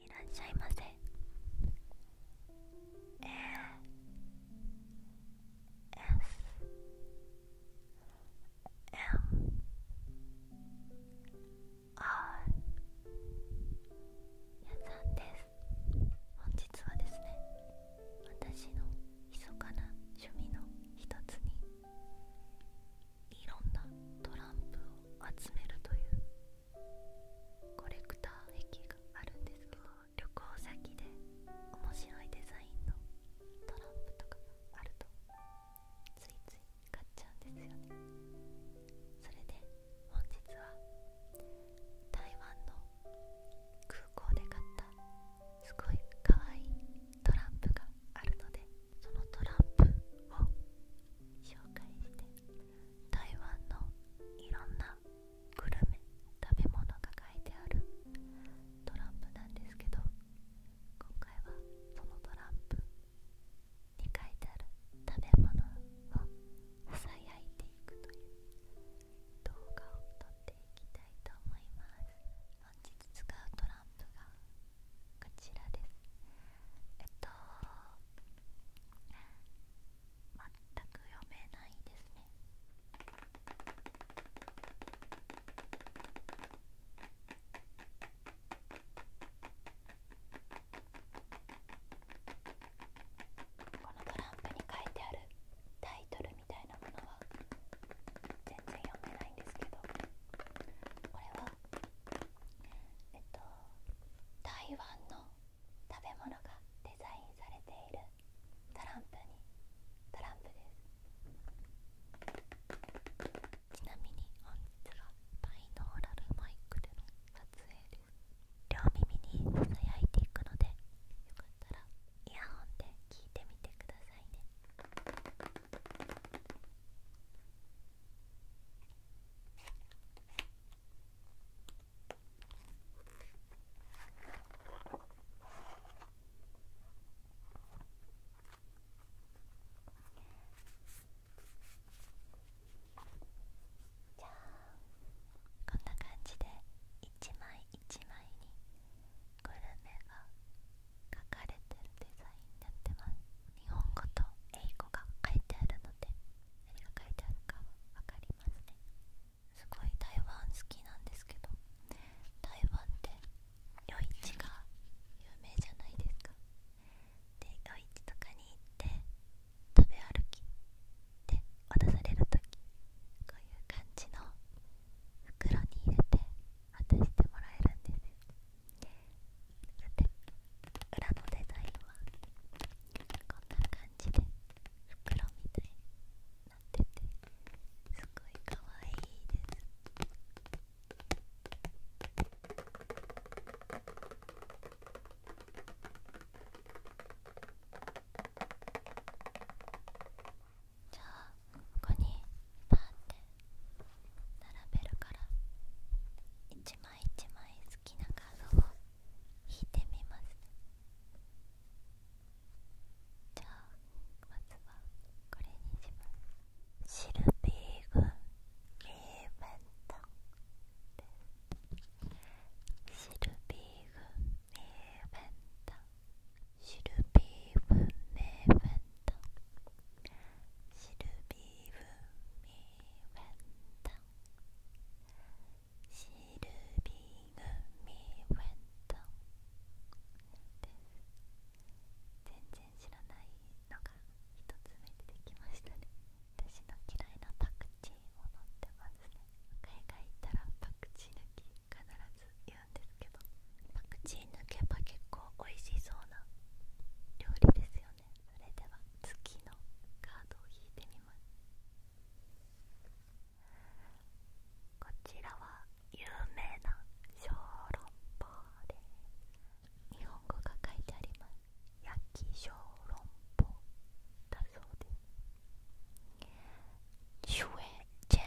いらっしゃいませえー S M R やさんです本日はですね私の密かな趣味の一つにいろんなトランプを集めるというコレクター駅があるんですけど旅行先で面白いデザインのトランプとかがあるとついつい買っちゃうんですよねそれで本日は台湾の空港で買ったすごいかわいいトランプがあるのでそのトランプを紹介して台湾のいろんなグルメ食べ物が書いてあるトランプなんですけど今回はそのトランプに書いてある食べ物をさやいていくという動画を撮っていきたいと思います。本使うトランプがこちらですえっと全く読めないですねこのトランプに書いてあるタイトルみたいなものは全然読めないんですけど。これはえっと台湾の食べ物がデザインされているトランプにトランプですちなみに本日はバイノーラルマイクでの撮影です両耳に輝いていくのでよかったらイヤホンで聞いてみてくださいねじゃこんな感じで一枚一枚にグルメが書かれてるデザインになってます日本語と英語が書いてあるので何が書いてあるか分かりますねすごい台湾好きなんですけど台湾って夜市が有名じゃないですかで夜市とかに行って食べ歩きで渡される時こういう感じの袋に入れて渡してもらえるんですよさて裏のデザインはこんな感じで袋みたいになっててすごいかわいいですじゃあここにパーって並べるから一枚一枚好きなカードを引いてみますじゃあまずはこれにしますシルビー軍リーベントシルビー軍リーベントシルビーグ文明ント。シルビーフミ u m i Wenton Silby g u 全然知らないのが1つ目出てきましたね私の嫌いなパクチーも載ってますね海外行ったらパクチー抜き必ず言パクチー抜けば結構美味しそうな料理ですよねそれでは次のカードを引いてみますこちらは有名な小籠包です日本語が書いてあります焼き小籠包だそうです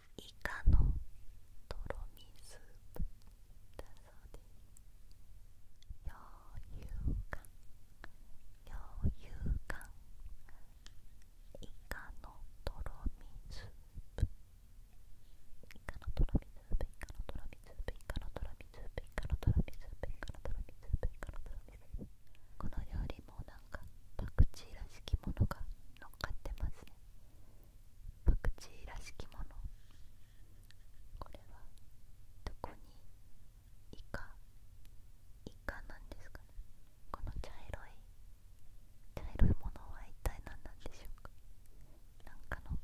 イカのとろみスープ余裕感余裕感イカのとろみスープイカのとろみスープイカのとろみスープイカのとろみスープイカのとろみスープイカのとろみスープイカのとろみスープこの料理もなんかパクチーらしきものが乗っかってますねパクチーらしきものこれはどこにイカイカなんですかねこの茶色い茶色いものは一体何なんでしょうかなんかの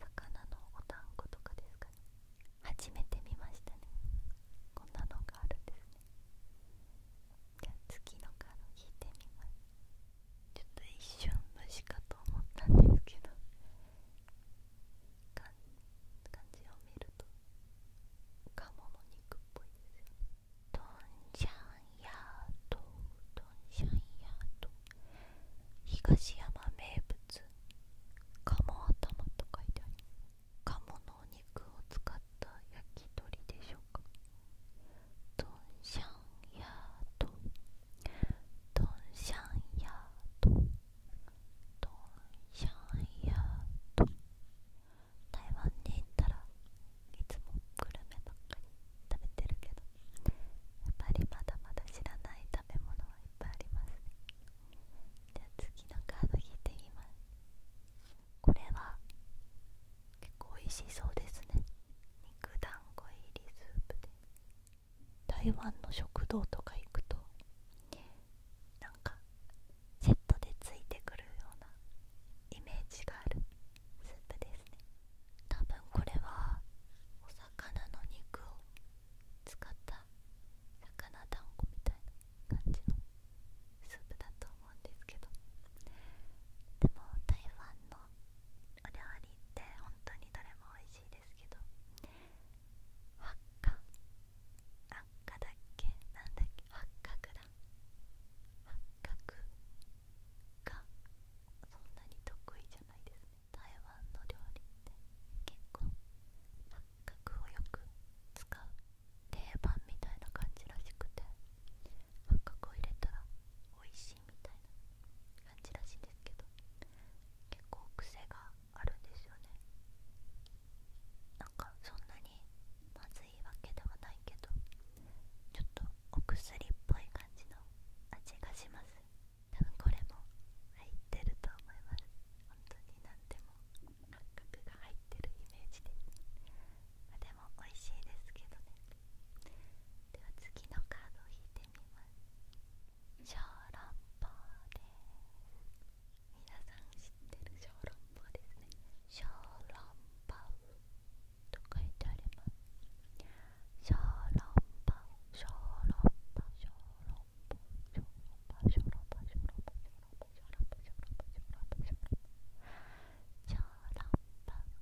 魚のお団子とかですかね初めて見ましたねこんなのがあるんですねじゃあ次のカード引いてみますちょっと一瞬虫かと思ったんですけど漢字を見ると鴨の肉っぽいですよトンシャンヤードトンシャンヤード東山名物鴨頭と書いてあります鴨のお肉を使った焼き鳥でしょうドド。ドンンンシシャヤーャンヤード。ドンシャンヤード。台湾に行ったらいつもグルメばっかり食べてるけどやっぱりまだまだ知らない食べ物はいっぱいありますねじゃあ次のカード引いてみますこれは結構美味しそうですね肉団子入りスープで台湾の食堂とか行くとなんかセットでついてくるようなイメージがあるスープですね多分これはお魚の肉を使った魚団子みたいな感じのスープだと思うんですけどでも台湾のお料理って本当にどれも美味しいですけど八角八角だっけなんだっけ八角だか、角がそんなに得意じゃないですね台湾の料理って結構八角をよく使う定番みたいな感じらしくて八角を入れたら美味しいみたいな感じらしいんですけど結構癖があるんですよねなんかそんなにまずいわけではないけどちょっとお薬っぽい感じの味がします多分これも入ってると思います本当に何でも八角が入ってるイメージででも美味しいですけどねでは次のカードを引いてみます小籠さん知ってる小籠包ですね小籠包と書いてあります小籠包小籠包小籠包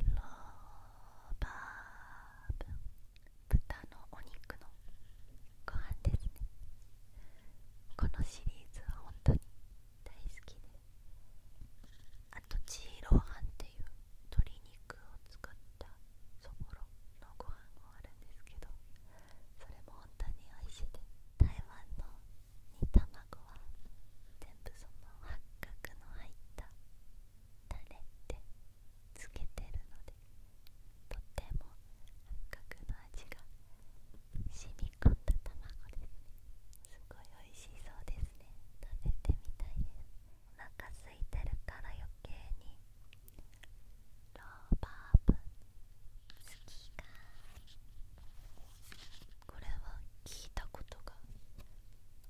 ローバーブ豚のお肉のご飯ですねこのシリーズは本当に大好きであとチーローハンっていう鶏肉を使ったそぼろのご飯もあるんですけどそれも本当に美味しいです台湾の煮卵は全部その八角の入ったタレってつけてるのでとても八角の味が染み込んだ卵ですねすごい美味しそうですね食べてみたいですお腹空いてるから余計にローバーブ好きかこれは聞いたことが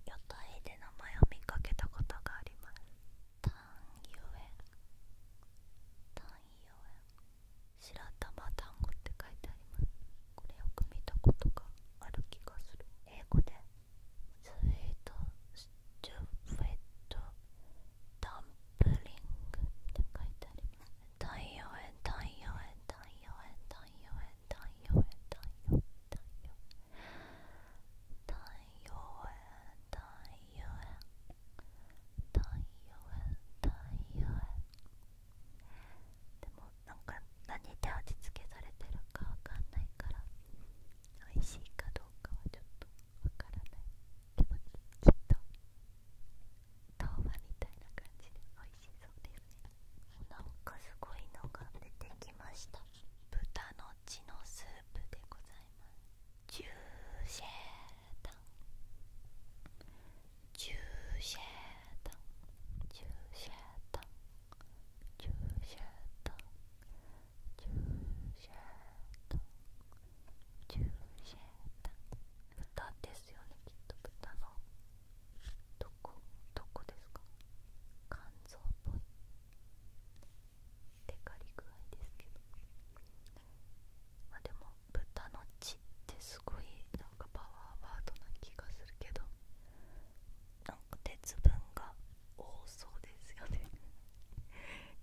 屋台で名前を見かけたことがありますタンユエタンユエ白玉単語って書いてありますこれよく見たことがある気がする英語でスイートスチュフェットダンプリングって書いてありますタンユエタンユエタンユエ太陽へ太陽へ太陽へ太陽太陽へ太陽太陽太陽でもなんか何で味付けされてるかわかんないから美味しいかどうかはちょっとわからないけどきっと豆腐みたいな感じで美味なんかすごいのが出てきました豚の血のスープでございますジューシェータンジューシェータンジューシェータンジューシェータンジューシェータンジューシェータン豚ですよねきっと豚のどこどこですか肝臓っぽいテカり具合ですけどまあでも豚の血ってすごいなんかパワーワードな気がするけどなか鉄分が多そうですよね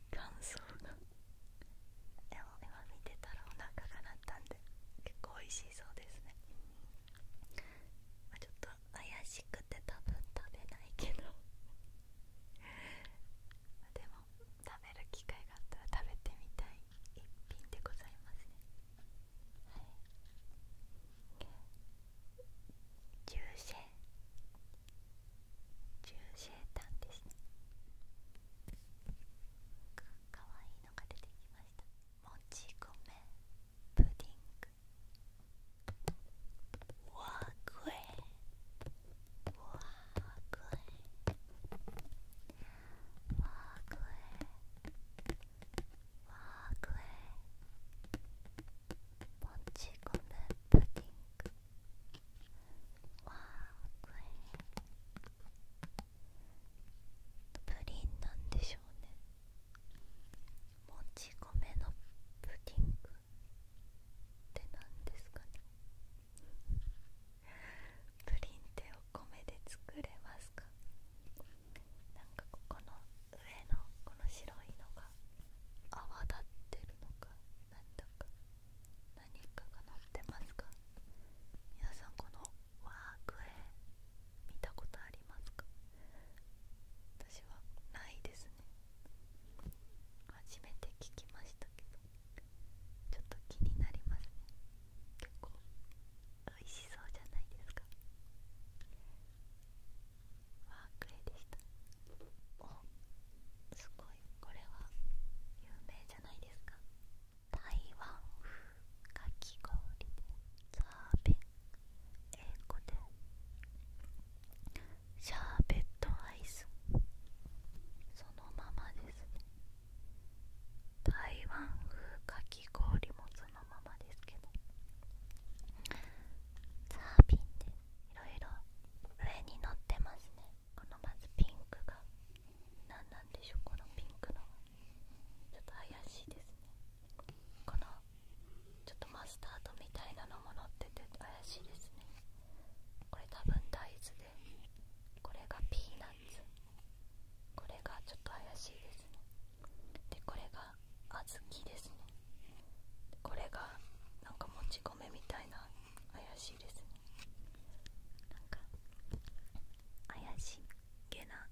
感想がでも今見てたらお腹が鳴ったんで結構美味しそうですねまあ、ちょっと怪しくて多分食べないけど でも食べる機会があったら食べてみたい一品でございますねはいジューシェジューシェタンですねかかわいいのが出てきましたもち米プディングー、我贵，我贵，我贵，我贵。もち米プディング。わーくいプリンなんでしょうねもち米のプリングって何ですかねプリンってお米で作れますかなんかここの上のこの白いのが泡立ってるのか何だか何かが乗ってますか皆さんこのワークエ見たことありますか私はないですね初めて聞きましたけどちょっと気になります結構美味しそうじゃないですかワークレでしたすごいこれは有名じゃないですか台湾風かき氷でザーベン英語でシャーベットアイスそのままですね台湾風かき氷もそのままですけどザービンでいろいろ上に乗ってますねこのまずピンクが何なんでしょうこのピンクのちょっと怪しいですねこのちょっとマスタードみたいなのも載ってて怪しいですねこれ多分大豆でこれがピーナッツこれがちょっと怪しいですねでこれが小豆ですねこれがなんかもち米みたいな怪しいですねなんか怪しげな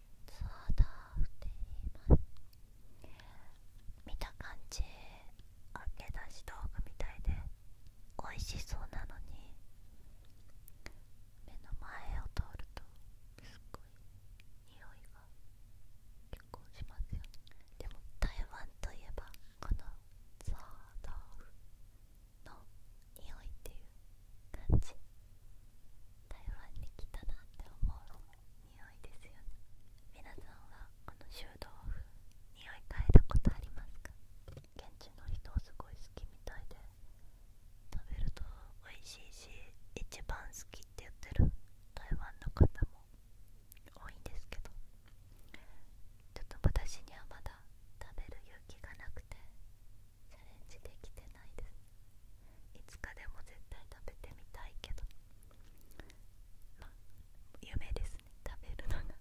そーだって言います見た感じあけ出し動画みたいで美味しそうなのに目の前を通るとすっごい匂いが結構しますよでも台湾といえばこのザーダーフの匂いっていう感じ台湾に来たなって思うのも匂いですよね皆さんはこの臭豆腐匂い嗅いだことありますか現地の人をすごい好きみたいで食べると美味しいし一番好きって言ってる台湾の方も多いんですけどちょっと私にはまだ食べる勇気がなくてチャレンジできてないですいつかでも絶対食べてみたいけどまあ夢ですね食べるのが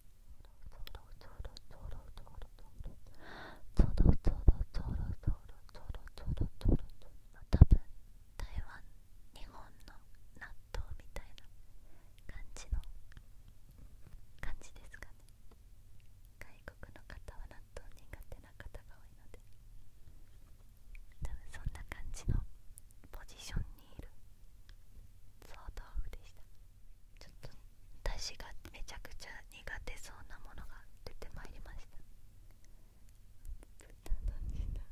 ゾロゾロゾロゾロゾロゾロゾロゾロゾロゾロゾロゾロ多分台湾日本の納豆みたいな感じの感じですかね外国の方は納豆苦手な方が多いので多分そんな感じのポジションにいる総豆腐でしたちょっと私がめちゃくちゃ苦手そうなものが出てまいりました豚の血の豚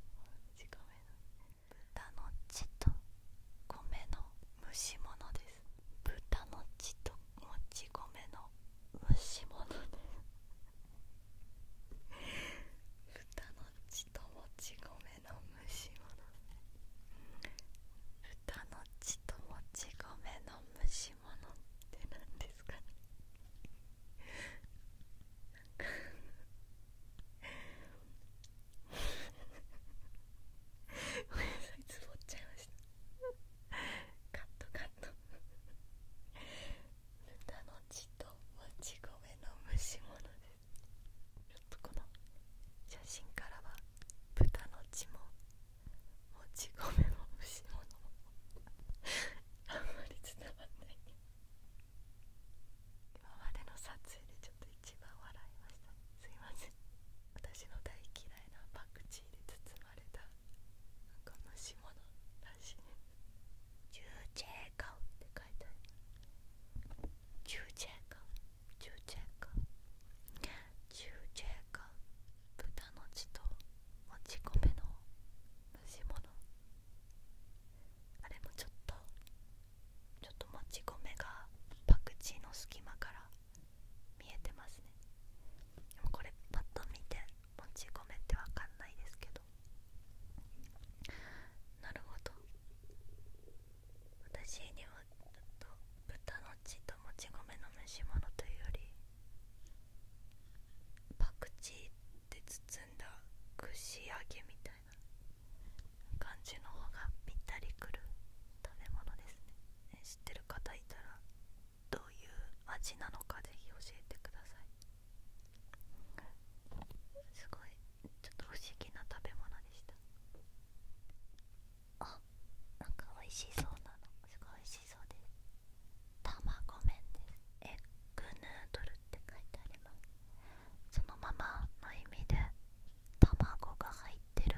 の血と米の蒸し物です豚の血ともち米の蒸し物で豚の血ともち米の蒸し物豚の血ともち米の蒸し物って何ですかねごめんなっちゃいましたカットかな豚の血ともち米の蒸し物ですちょっとこの写真からは豚の血ももち米も蒸し物もあんまり伝わんない今までの撮影でちょっと一番笑いました、すいません私の大嫌いなパクチーで包まれたなんか虫物らしいね「チュって書いてある「チューチェーカウ」「チ豚の血ともち米の蒸し物あれもちょっとちょっともち米がパクチーの隙間から見えてますねでもこれパッと見てもち米ってわかんないですけどなるほど私にはちっと豚の血ともち米の蒸し物というよりパクチーって包んだ串揚げみたいな感じの方がぴったりくる食べ物ですね知ってる方いたらどういう味なのかぜひ教えてくださいすごいちょっと不思議な食べ物でしたあなんか美味しそうなのすごい美味しそうです卵麺ですエッグヌードルって書いてありますそのままの意味で卵が入ってる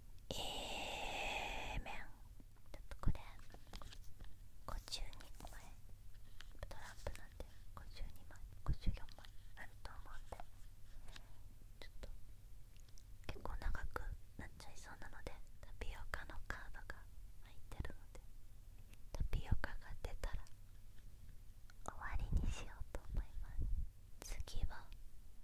えーめちょっとこれ52枚トランプなんで52枚54枚あると思うんでちょっと結構長くなっちゃいそうなのでタピオカのカードが入ってるのでタピオカが出たら終わりにしようと思います次は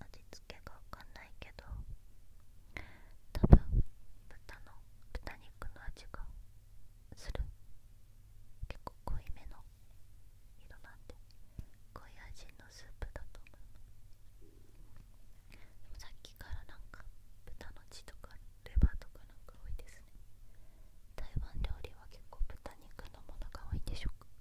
味付けがわかんないけど多分豚の豚肉の味がする結構濃いめの色なんで濃い味のスープだと思うさっきからなんか豚の血とかレバーとかなんか多いですね台湾料理は結構豚肉のものが多いんでしょうか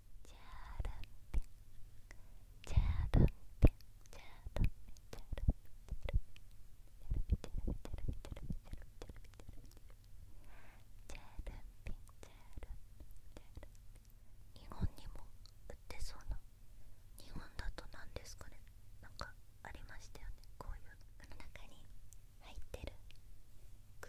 日本にも売ってそうな日本だと何ですかねなんかありましたよねこういうの中に入ってる具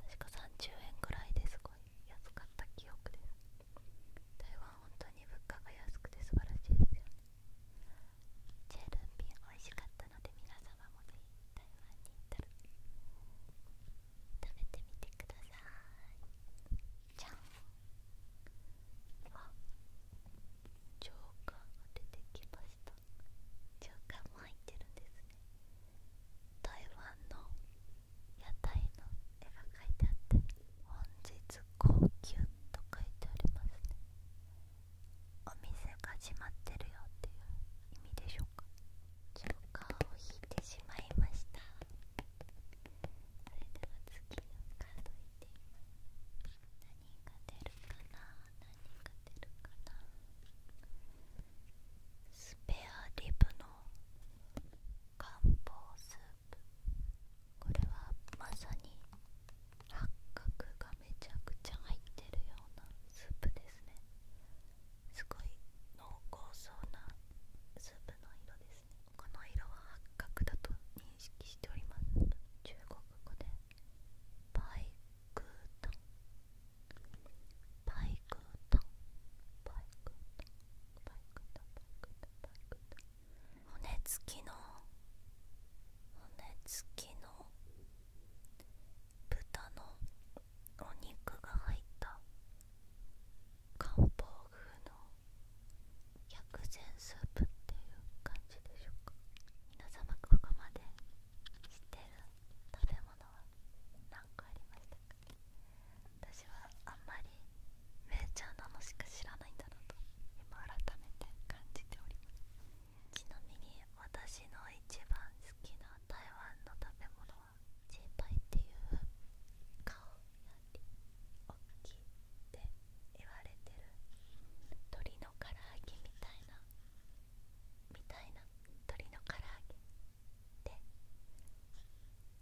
確か30円くらいですごい安かった記憶です台湾本当に物価が安くて素晴らしいですよねチェルンビン美味しかったので皆様もぜひ台湾に行ったら食べてみてくださいじゃんあジョーカーが出てきましたジョーカーも入ってるんですね台湾の屋台の絵が描いてあって「本日高級」と書いてありますねお店が始まってるよっていう意味でしょうかジョーカーを引いてしまいましたそれでは次のカード引いてみます何が出るかな何が出るかなスペアリブの漢方スープこれはまさに八角がめちゃくちゃ入ってるようなスープですねすごい濃厚そうなスープの色ですねこの色は八角だと認識しております中国語でパイクバイクとバイクだバイクだバイクだ骨付きの骨付きの豚のお肉が入った漢方風の薬膳スープっていう感じでしょうか皆様ここまで知てる食べ物は何個ありましたか私はあんまりめーチャーなのしか知らないんだなと今改めて感じておりますちなみに私の一番好きな台湾の食べ物はジーパイっていう顔より大きいって言われてる鳥の唐揚げみたいなみたいな鳥の唐揚げで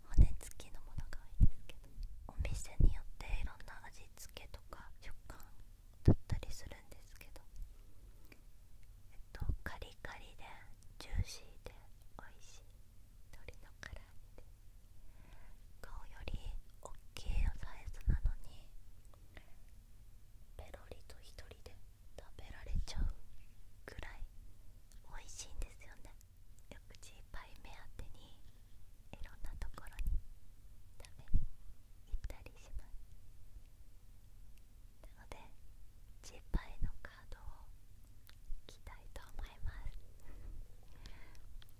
骨付きのものが多いんですけどお店によっていろんな味付けとか食感だったりするんですけどえっとカリカリでジューシーで美味しい鶏の唐揚で顔より大きいサイズなのにペロリと1人で食べられちゃうぐらい美味しいんですよねよくチーパイ目当てにいろんなところに食べに行ったりしますなのでチーパイのカードをきたいと思います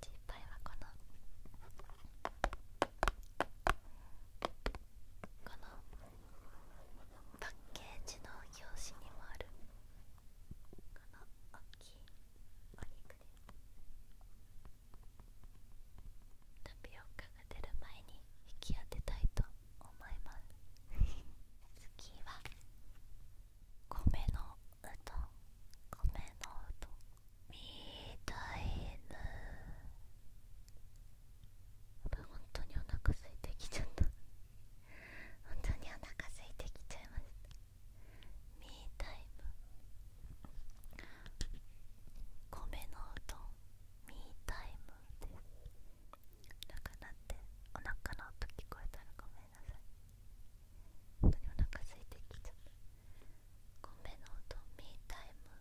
チーパイはこのこのパッケージの表紙にもあるこの大きいお肉でタピオカが出る前に引き当てたいと思います次は米のうどん米のうどんみたいな本当にお腹すいてきちゃった本当にお腹空いてきちゃいましたミータイム米のうどんミータイムですななっお腹の音聞こえたらごめんなさい本当にお腹空いてきちゃった米のうどんミータイム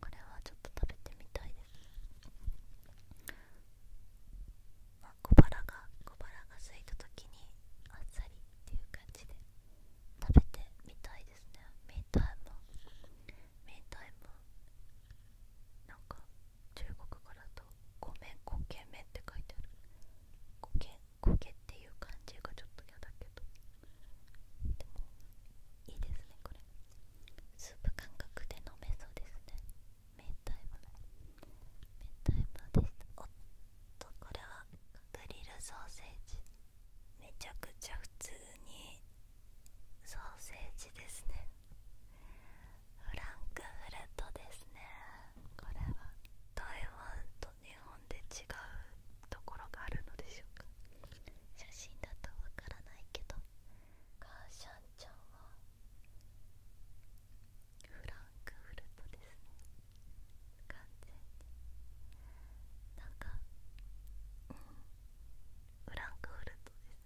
これはちょっと食べてみたいです小腹が小腹が空いた時にあっさりっていう感じで食べてみたいですね明太も明太子。なんか中国からとごめん固形麺って書いてある固形固形っていう感じがちょっと嫌だけどでもいいですねこれスープ感覚で飲めそうですね明太マ明太マですおっとこれはグリルソーセージめちゃくちゃ普通にソーセージですねフランクフルトですねこれは台湾と日本で違うところがあるのでしょうか写真だとわからないけどカーシャンちゃんはフランクフルトですね完全になんかフランクフルトです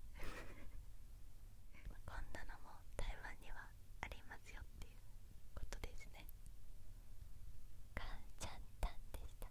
こんなのも台湾にはありますよっていうことですねかんちゃんたんでした。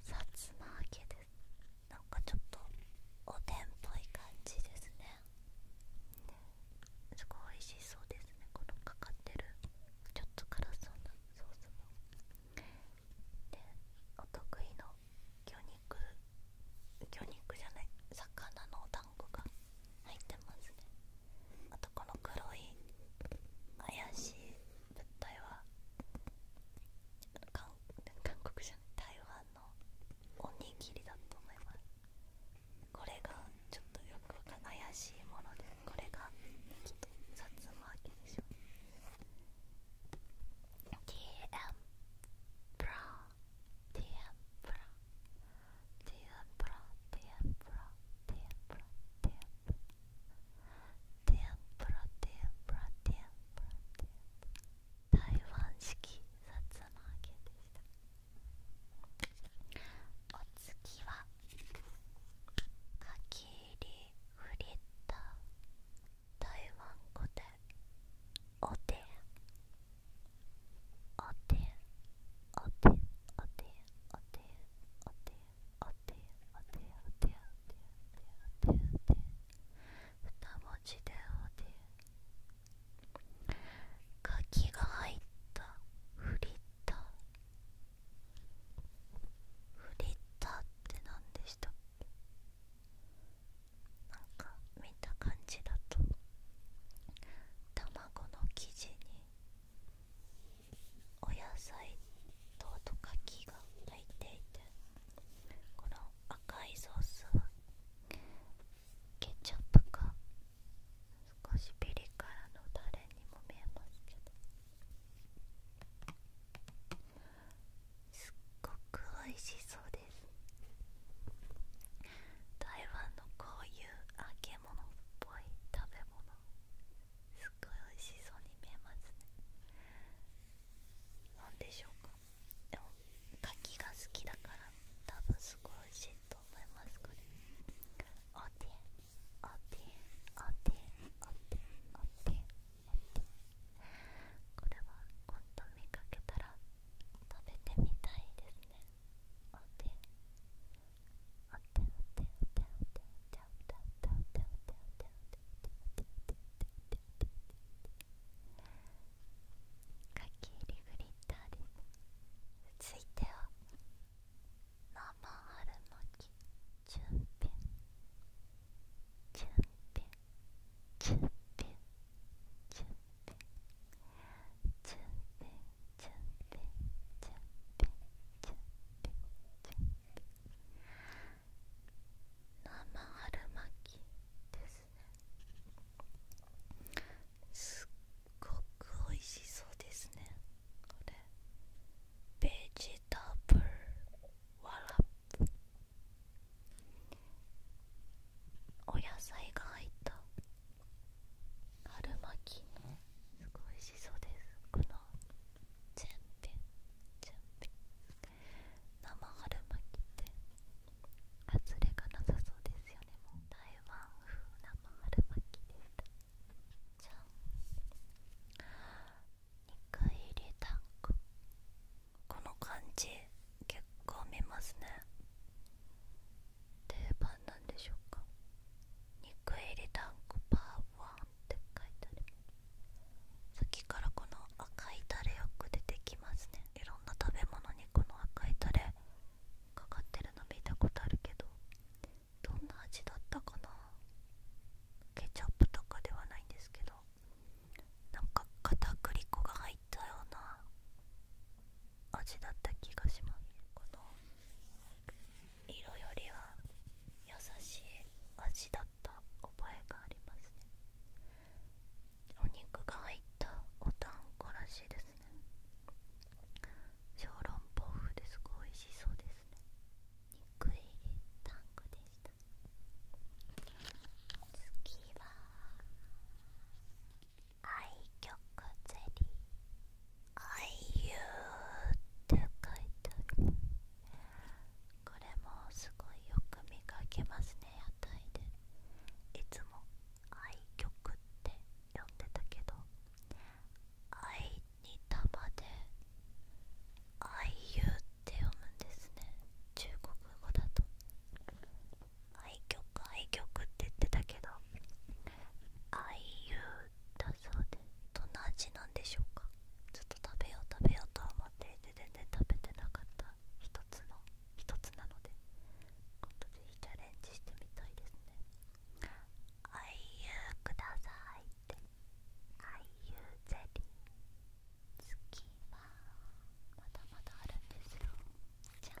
さつま揚げですなんかちょっとおでんっぽい感じですねすごい美味しそうですねこのかかってるちょっと辛そうなソースの。でお得意の魚肉魚肉じゃない魚のお団子が入ってますねあとこの黒い怪しい物体は韓国じゃ台湾のおにぎりだと思いますこれがちょっとよくわかんない怪しいものでこれがきっとさつま揚げでしょ TM プラ t ン。プラーティ t ン。プラーティ t ン。プラーティ t ン。プラテ TM プラテンプラテンプラテンぷらテン台湾式さつま揚げでしたお次はかき入りフリた。台湾語でおてんおてんおてんおてんおてんおでんおておておておておておておて二文字でおてキが入ったフリッターフリッターって何でしたっけなんか見た感じだと卵の生地にお野菜とトカキが入っていてこの赤いソースはケチャップか少しピリ辛のタレにも見えますけどすっごく美味しそうです台湾のこういう揚げ物っぽい食べ物すっごい美味しそうに見えますね何でしょうかでも柿が好きだから多分すごい美味しいと思いますこれおておておておておておてこれは今度見かけたら食べてみたいですねおておておきリフリッターです続いては生春巻きチュンピュンチュンピュンチュンピュンチュンピュンチュンピュンチュンピュンチュンピュンチュンピュンチュンピュンチュンピュン生春巻きですねすっごく美味しそうですねこれベジタブルワラップお野菜が入った春巻きのすごいしそうですこのチェンピンチェンピン生春巻きって外れがなさそうですよね台湾風生春巻きです。たじゃ肉入りタンクこの感じ結構見ますね定番なんでしょうか肉入りタンクパワーって書いてあるさっきからこの赤いタレよく出てきますねいろんな食べ物にこの赤いタレかかってるの見たことあるけどどんな味だったかなケチャップとかではないんですけどなんか片栗粉が入ったような味だった気がしますこの色よりは優しい味だった覚えがありますねお肉が入ったおたんこらしいですね小籠包風ですごい美味しそうですね肉入りタンクでした次は愛曲ゼリー「あいゆって書いてあるこれもすごいよく見かけますね屋台でいつも「愛曲」って呼んでたけど「愛に玉」で「あいゆー」って読むんですね中国語だと「愛曲愛曲」って言ってたけど「あいゆー」だそうでどんな味なんでしょうかちょっと食べよう食べようと思っていて全然食べてなかった一つの一つなので今度是非チャレンジしてみたいですねあいうくださいってあいうゼリー次はまだまだあるんですよじゃん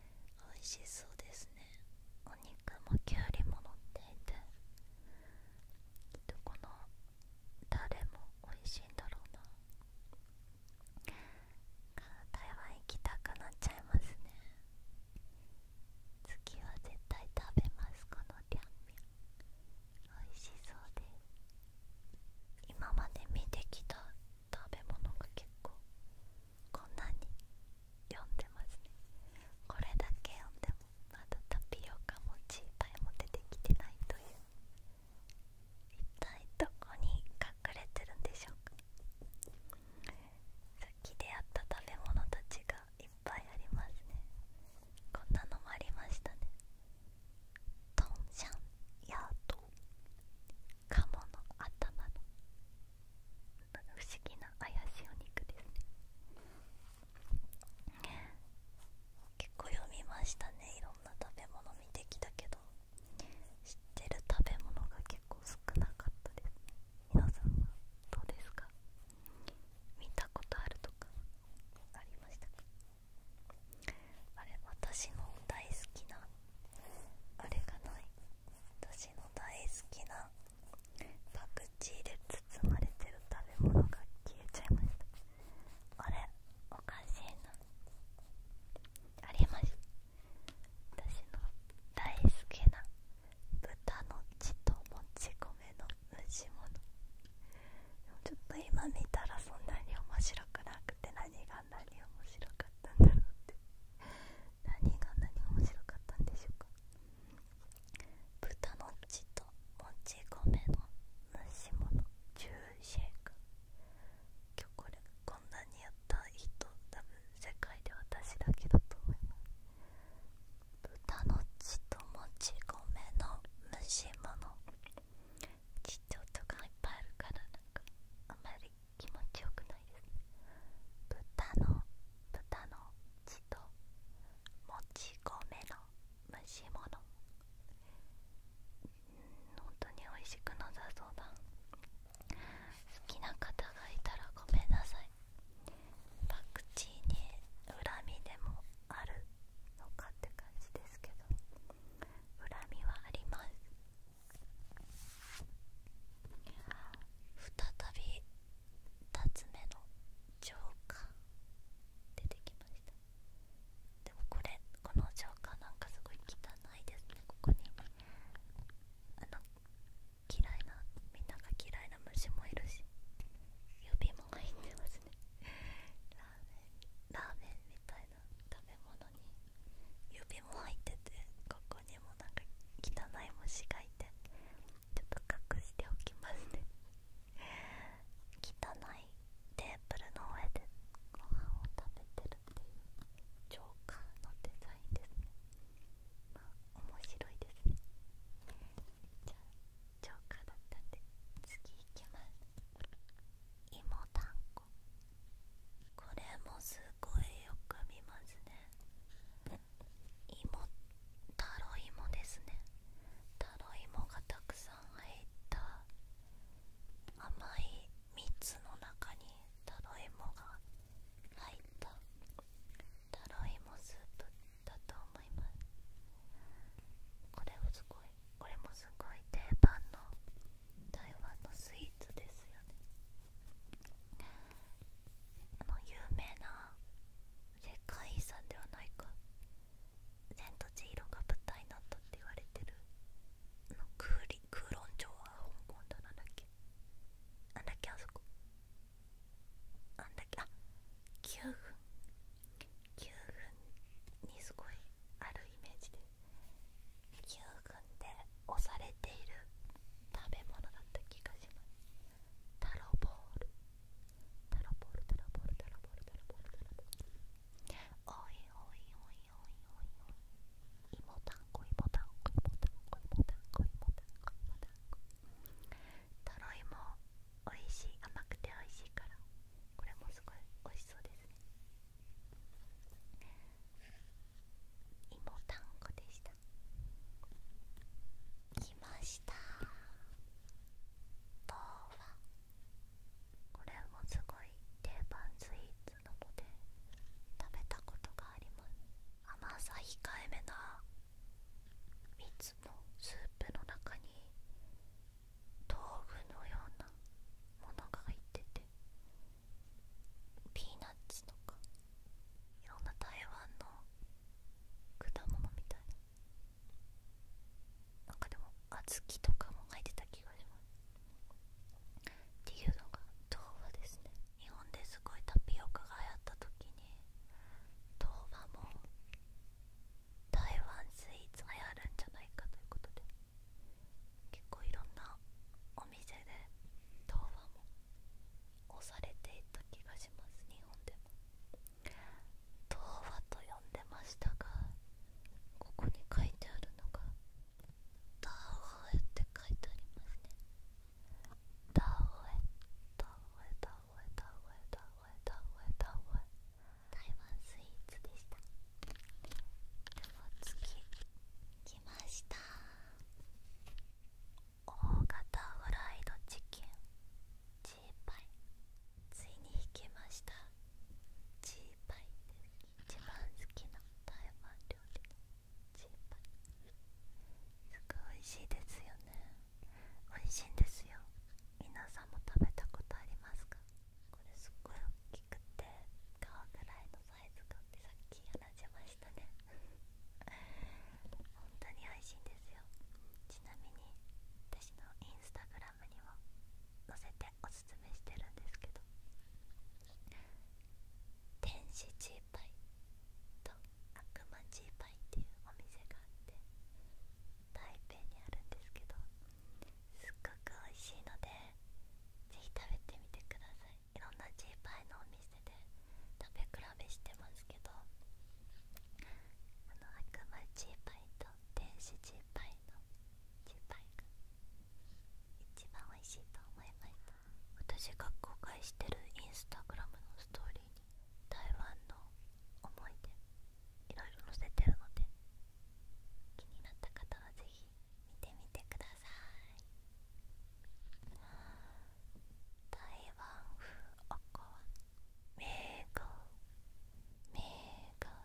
美味しそうですねお肉もきゅうりも乗っていてきっとこの誰も美味しいんだろうな台湾行きたくなっちゃいますね次は絶対食べますこのりゃんみん美味しそうで今まで見てきた食べ物が結構こんなに読んでますねこれだけ読んでもまだタピオカもチーパイも出てきてないという一体どこに隠れてるんでしょうかさっき出会った食べ物たちがいっぱいありますねこんなのもありましたねトンシャンヤート鴨の頭の不思議な怪しいお肉ですね結構読みましたねいろんな食べ物見てきたけど知ってる食べ物が結構少なかったですね皆さんはどうですか見たことあるとかありましたかあれ私の大好きなあれがない私の大好きなパクチーで包まれてる食べ物が消えちゃいましたあれおかしいなありました私の大好きな豚の血ともち米の蒸し物ちょっと今見たらそんなに面白くなくて何が何面白かったんだろうって何が何面白かったんでしょうか豚の血ともち米の蒸し物ジューシェイク今日これこんなにやった人多分世界で私だけだと思います豚の血ともち米の蒸し物ちっちゃい音がいっぱいあるからなかあんまり気持ちよくないです豚の豚の血ともち米の蒸し物うん本当に美味しくなさそうだ好きな方がいたらごめんなさいパクチーに恨みでもあるのかって感じですけど恨みはあります再び2つ目のジョーカー出てきましたでもこれこのジョーカーなんかすごい汚いですねここにあの嫌いなみんなが嫌いな虫もいるし指も入ってますねラーメンラーメンみたい食べ物に指も入っててここにもなんか汚い虫がいてちょっと隠しておきますね汚いテーブルの上でご飯を食べてるっていうジョーカーのデザインですねまあ面白いですねじゃあジョーカーだったんで次いきます芋だんここれもすごよく見ますね芋タロイモですねタロイがたくさん入った甘い蜜の中にタロイモが入ったタロイモスープだと思いますこれもすごいこれもすごい定番の台湾のスイーツですよねあの有名な世界遺産ではないか「千と千尋」が舞台になったって言われてるあの空空論町は香港だなんだっけあんだっけあそこあんだっけあ9分9分にすごいあるイメージです牛群で押されている食べ物だった気がしますタロボールタロボールタロボールタロボールタロボールタロボールおいおいおいおいおいおいいもたんこいもたんこいもたんこいもたんこいもたんこいもたんこタロイモおいしい甘くておいしいからこれもすごいおいしそうですね芋たんこでした来ましたとはこれもすごい定番スイーツなので食べたことがあります甘さ控えめないつもスープの中に道具のようなものが入っててピーナッツとかいろんな台湾の果物みたいななんかでも小豆とかも入ってた気がしますっていうのが豆腐ですね日本ですごいタピオカが流行った時に豆腐も台湾スイーツ流やるんじゃないかということで結構いろんなお店で童話も押されていた気がします日本でも童話と呼んでましたがここに書いてあるのが「ダーウって書いてありますね「ダーウエ」「ダーウエ」「ダーウエ」「ダーウエ」「ダーウエ」「ダーウエ」「台湾スイーツでしたでは次来ました大型フライドチキンチーパイついに引きましたチーパイです一番好きな台湾料理のチーパイすごい美味しいですよね美味しいんですよ皆さんも食べたことありますかこれすっごい大きくて皮ぐらいのサってさっき話しましたね 本当に美味ですよちなみに私のインスタグラムにも載せておすすめしてるんですけど天使チーパイと悪魔チーパイっていうお店があって台北にあるんですけどすっごく美味しいのでぜひ食べてみてくださいいろんなジーパイのお店で食べ比べしてますけどあの悪魔ジーパイと電子ジーパイのジーパイが一番美味しいと思います。私が公開してるインスタグラムのストーリーに台湾の思い出いろいろ載せてるので気になった方はぜひ見てみてください台湾風おこわ名護名護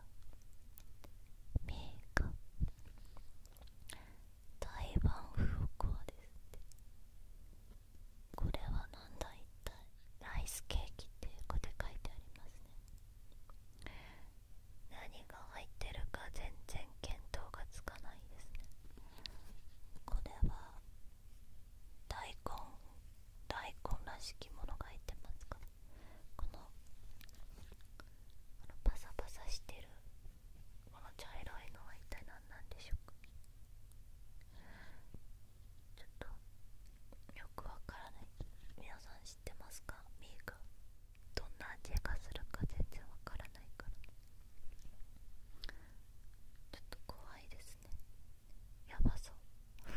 名護台湾風おこわですってこれはなんだたい、ライスケーキっていうかって書いてありますね何が入ってるか全然見当がつかないですねこれは大根大根らしきものが入ってますかこのあのパサパサしてるこの茶色いのは一体何なんでしょうかちょっとよくわからない皆さん知ってますかミーク。どんな味がするか全然わからないからちょっと怖いですねやばそう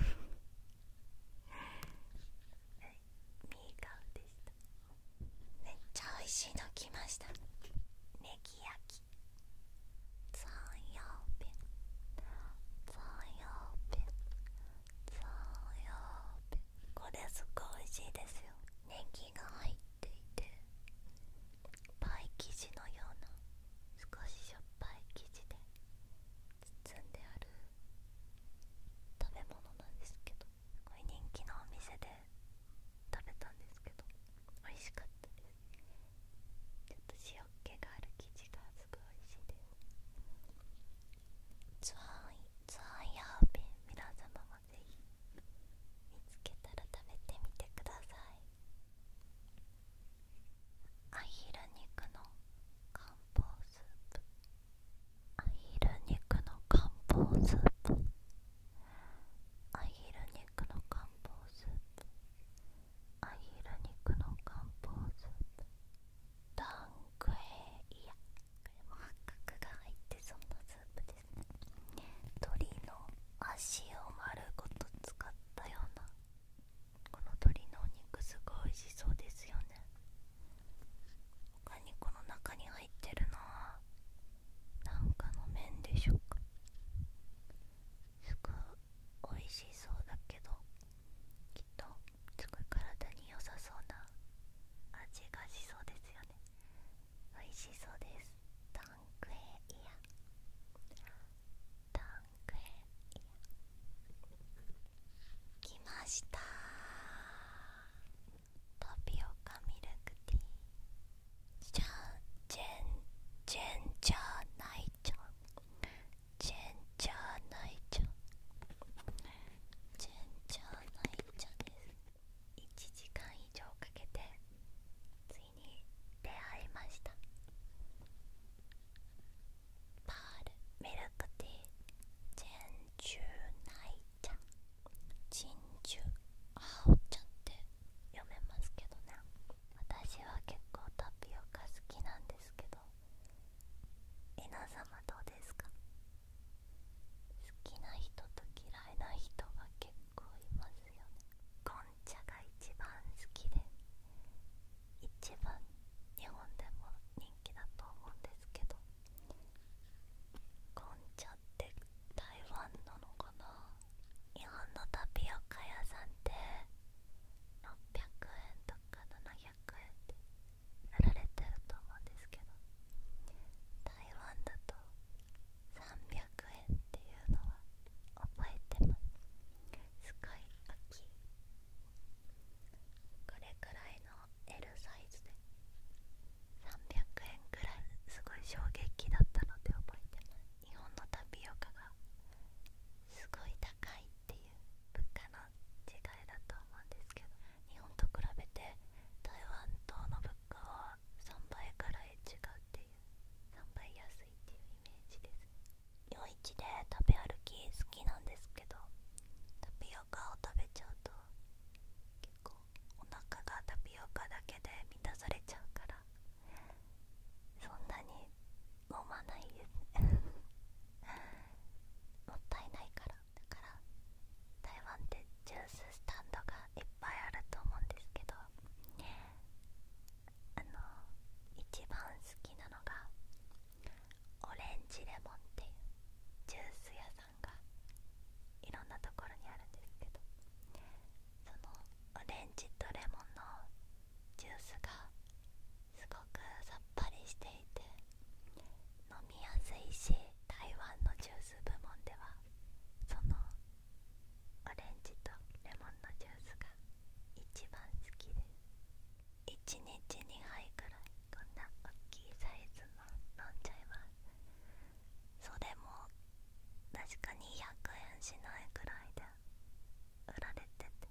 はいミーガウでしためっちゃ美味しいの来ましたねぎ焼き残用ペン残用ペン残用ペンこれすっごい美味しいですよネギが入っていてパイ生地のような少ししょっぱい生地で包んである食べ物なんですけどすごい人気のお店で食べたんですけど美味しかったですちょっと塩気がある生地がすごい美味しいですツアーイヤーベン皆様がぜ見つけたら食べてみてくださいアヒル肉の漢方スープアヒル肉の漢方スープアヒル肉の漢方スープアヒル肉の漢方スープダンクヘイヤも八角が入ってそうなスープですね鳥の足を丸ごと使ったようなこの鶏のお肉すごい美味しそうですよね他にこの中に入ってるのはなんかの麺でしょうかすごい美味しそうだけどきっとすごい体に良さそうな味がしそうですよね美味しそうですタンクエイヤタンクエイヤ来ましたタピオカミルクティーじゃんジェンジェンジャーナイちゃんジェンジャーちゃんジェちゃです1時間以上かけてついに出会いましたパールミルクティー珍珠奶茶珍珠青茶って読めますけどね私は結構タピオカ好きなんですけど皆様どうですか好きな人と嫌いな人が結構いますよねゴんチャが一番好きで一番日本でも人気だと思うんですけどこんチャって台湾なのかな日本のタピオカ屋さんって600円とか700円で売られてると思うんですけど台湾だと300円っていうのは覚えてますすごい大きいこれくらいの L サイズで300円ぐらいすごい衝撃だったので覚えてます日本のタピオカがすごい高いっていう物価の違いだと思うんですけど日本と比べて台湾等の物価は3倍からえ違うっていう3倍安いっていうイメージです夜市で食べ歩き好きなんですけどタピオカを食べちゃうと結構お腹がタピオカだけで満たされちゃうからそんなに飲まないですね もったいないからだから台湾ってジューススタンドがいっぱいあると思うんですけどあの一番好きなのがオレンジレモンっていうジュース屋さんがいろんなところにあるんですけどそのオレンジとレモンのジュースがすごくさっぱりしていて飲みやすいし台湾のジュース部門ではそのオレンジとレモンのジュースが一番好きです1日2杯くらいこんな大きいサイズの飲んじゃいますそれも確かに100円しないぐらいで売られてて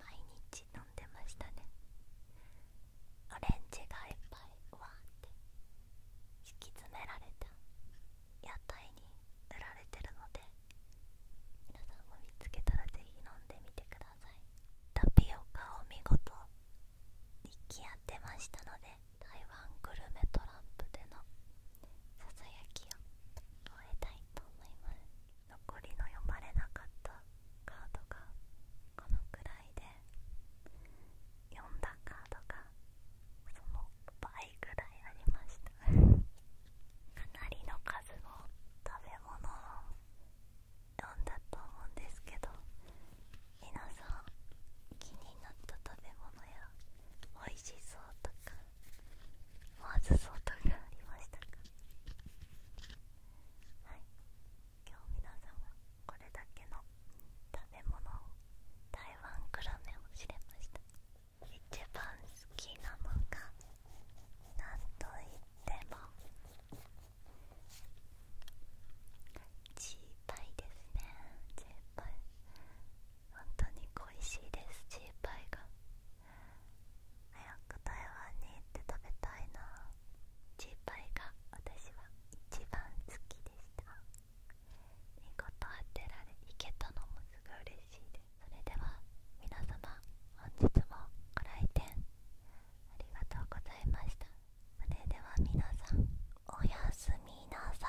毎日飲んでましたねオレンジがいっぱいわって敷き詰められた屋台に売られてるので皆さんも見つけたらぜひ飲んでみてくださいタピオカを見事にき合ってましたので台湾グルメトランプでのささやきを終えたいと思います残りの読まれなかったカードがこのくら態で読んだカードがその倍ぐらいありましたかなりの数の食べ物を読んだと思うんですけど皆さん気になった食べ物や美味しそうとかまずそうとかありましたか今日皆さんはこれだけの食べ物を台湾グルメを知れました一番好きなのがなんといってもチーパイですねチーパイ本当に恋しいですチーパイが早く台湾に行って食べたいな心配が私は一番好きでした見事当てられいけたのもすごい嬉しいですそれでは皆様本日もご来店ありがとうございましたそれでは皆さんおやすみなさい